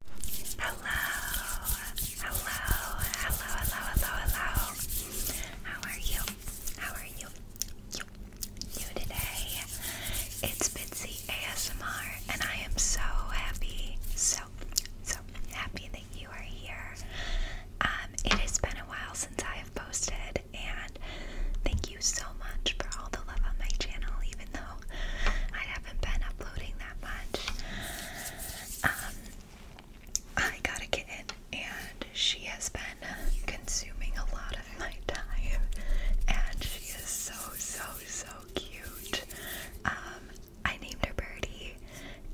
Hello, hello, hello, hello, hello, hello. How are you? How are you? You, today? It's Bitsy ASMR, and I am so happy, so, so happy that you are here. Um, it has been a while since I have posted, and thank you so much for all the love on my channel, even though I have haven't been uploading that much. Um, I got a kitten, and she has been consuming a lot of my time, and she is so, so, so cute. Um, I named her Birdie,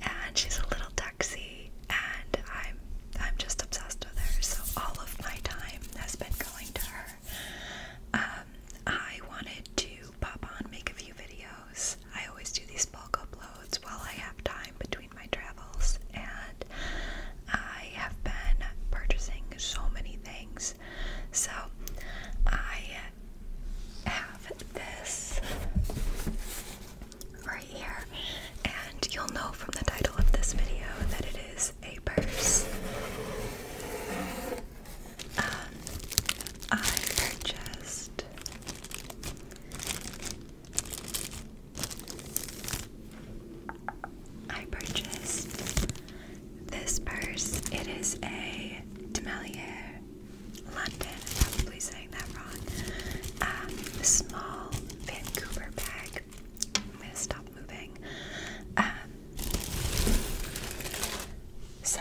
and she's a little duxie, and I'm I'm just obsessed with her. So all of my time has been going to her. Um, I wanted to pop on, make a few videos. I always do these bulk uploads while I have time between my travels, and I have been purchasing so many things. So I have this right here, and you'll know from the title of this video that it is a purse. Um, I purchased I purchased this purse. It is a Demelier London. I'm probably saying that wrong. Um, small Vancouver bag. I'm gonna stop moving. Um, so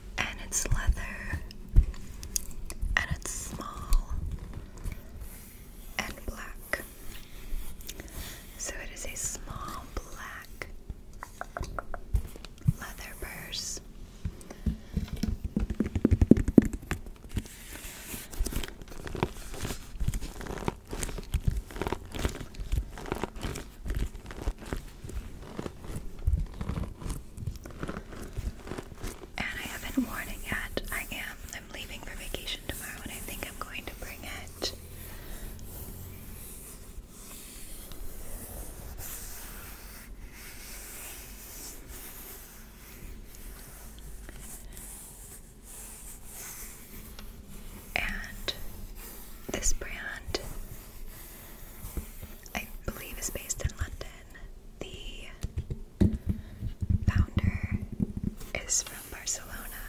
and it's leather and it's small and black. So it is a small black leather purse. And I have been warning it. I am. I'm leaving for vacation tomorrow and I think I'm going to bring it. And this brand I believe is based in London. The founder is from Barcelona,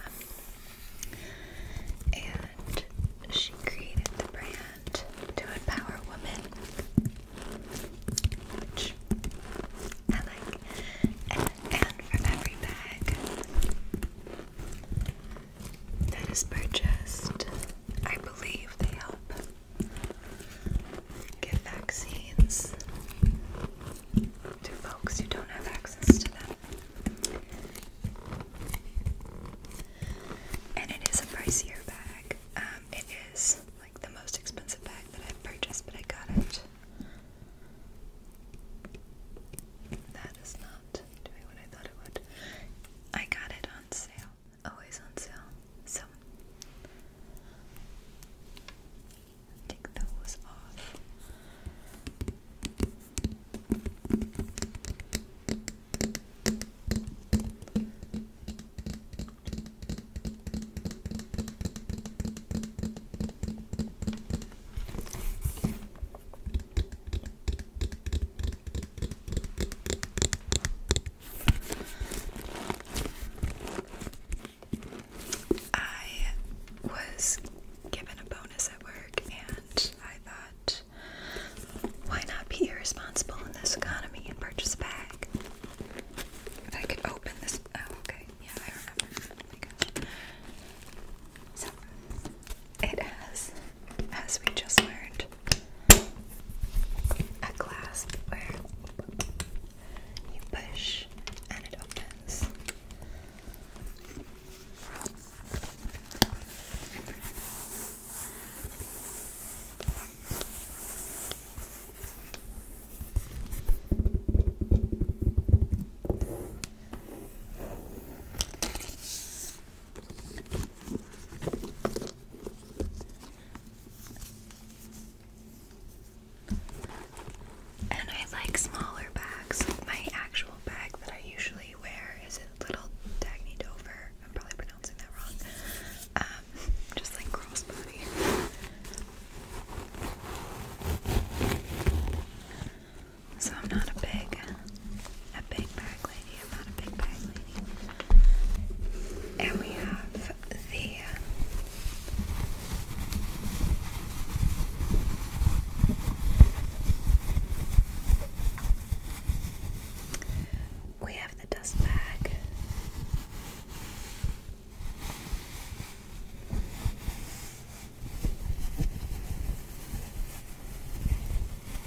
and she created the brand to empower women, I like. And, and from every bag, that is purchased. I believe they help give vaccines to folks who don't have access to them. And it is a pricier bag. Um, it is like the most expensive bag that I've purchased, but I got it. That is not doing what I thought it would. I got it always on sale. So take those off. I was given a bonus at work, and I thought, why not be irresponsible in this economy and purchase a bag? If I could open this. Oh, okay. Yeah, I remember. Oh so, it has as we just learned a clasp where you push and it opens. And I like smaller bags. My actual bag that I usually wear is a little Dagny Dover. I'm probably pronouncing that wrong. Um, just like crossbody. So I'm not a big a big bag lady. I'm not a big bag lady. And we have the we have the dust bag.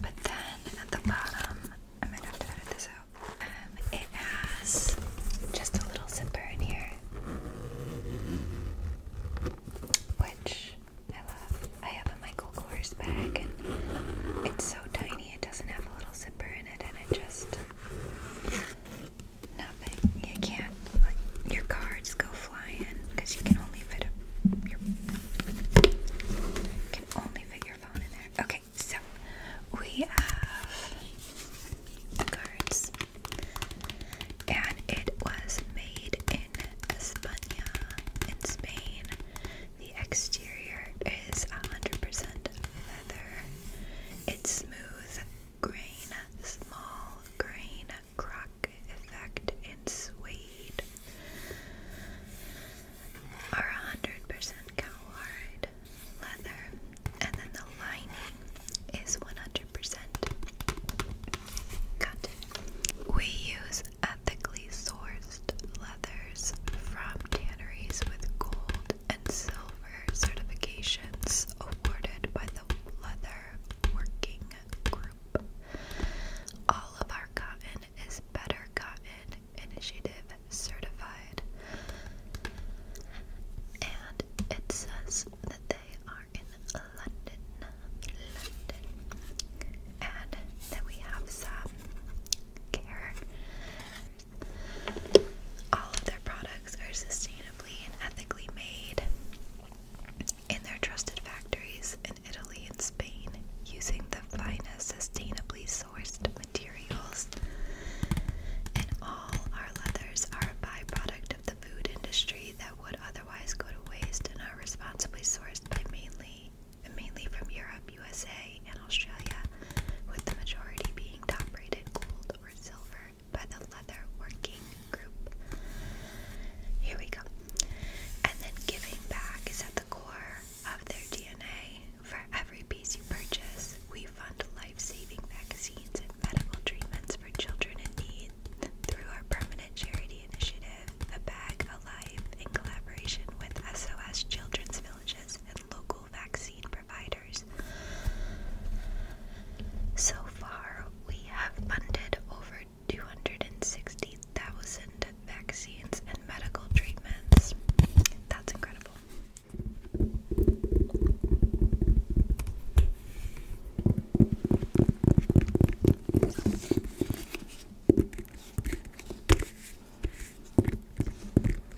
But then at the bottom, I might have to edit this out. Um, it has just a little zipper in here, which I love. I have a Michael Kors bag, and it's so tiny. It doesn't have a little zipper in it, and it just Nothing. You can't. your cards go flying because you can only fit a, can only fit your phone in there. Okay, so we have the cards, and it was made in Spain. The exterior is 100% leather. It's smooth smooth grain, small grain crock effect in suede are 100% cowhide leather, and then the lining is 100% We use ethically sourced leathers from tanneries with gold and silver certifications awarded by the Leather Working Group. All of our cotton is Better Cotton Initiative certified. And it says that they are in London. London. And then we have some care all of their products are sustainably and ethically made in their trusted factories in Italy and Spain using the finest sustainably sourced materials. And all our leathers are a byproduct of the food industry that would otherwise go to waste and are responsibly sourced by mainly mainly from Europe, USA, UK and Australia, with the majority being top-rated gold or silver by the leather working group. Here we go. And then giving back is at the core of their DNA. For every piece you purchase, we fund life-saving vaccines and medical treatments for children in need through our permanent charity initiative, A Bag Alive, in collaboration with SOS Children's Villages and local vaccine providers. So far, we have funded over 260,000 vaccines and medical treatments. That's incredible.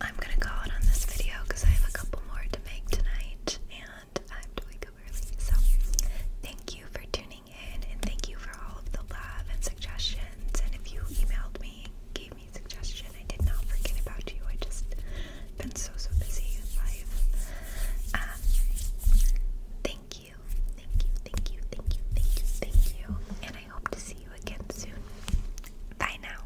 I'm gonna call it on this video because I have a couple more to make tonight and I have to wake up early. So, thank you for tuning and thank you for all of the love and suggestions. And if you emailed me, gave me a suggestion, I did not forget about you. I just been so so busy in life. Um, thank you, thank you, thank you, thank you, thank you, thank you. And I hope to see you again soon. Bye now.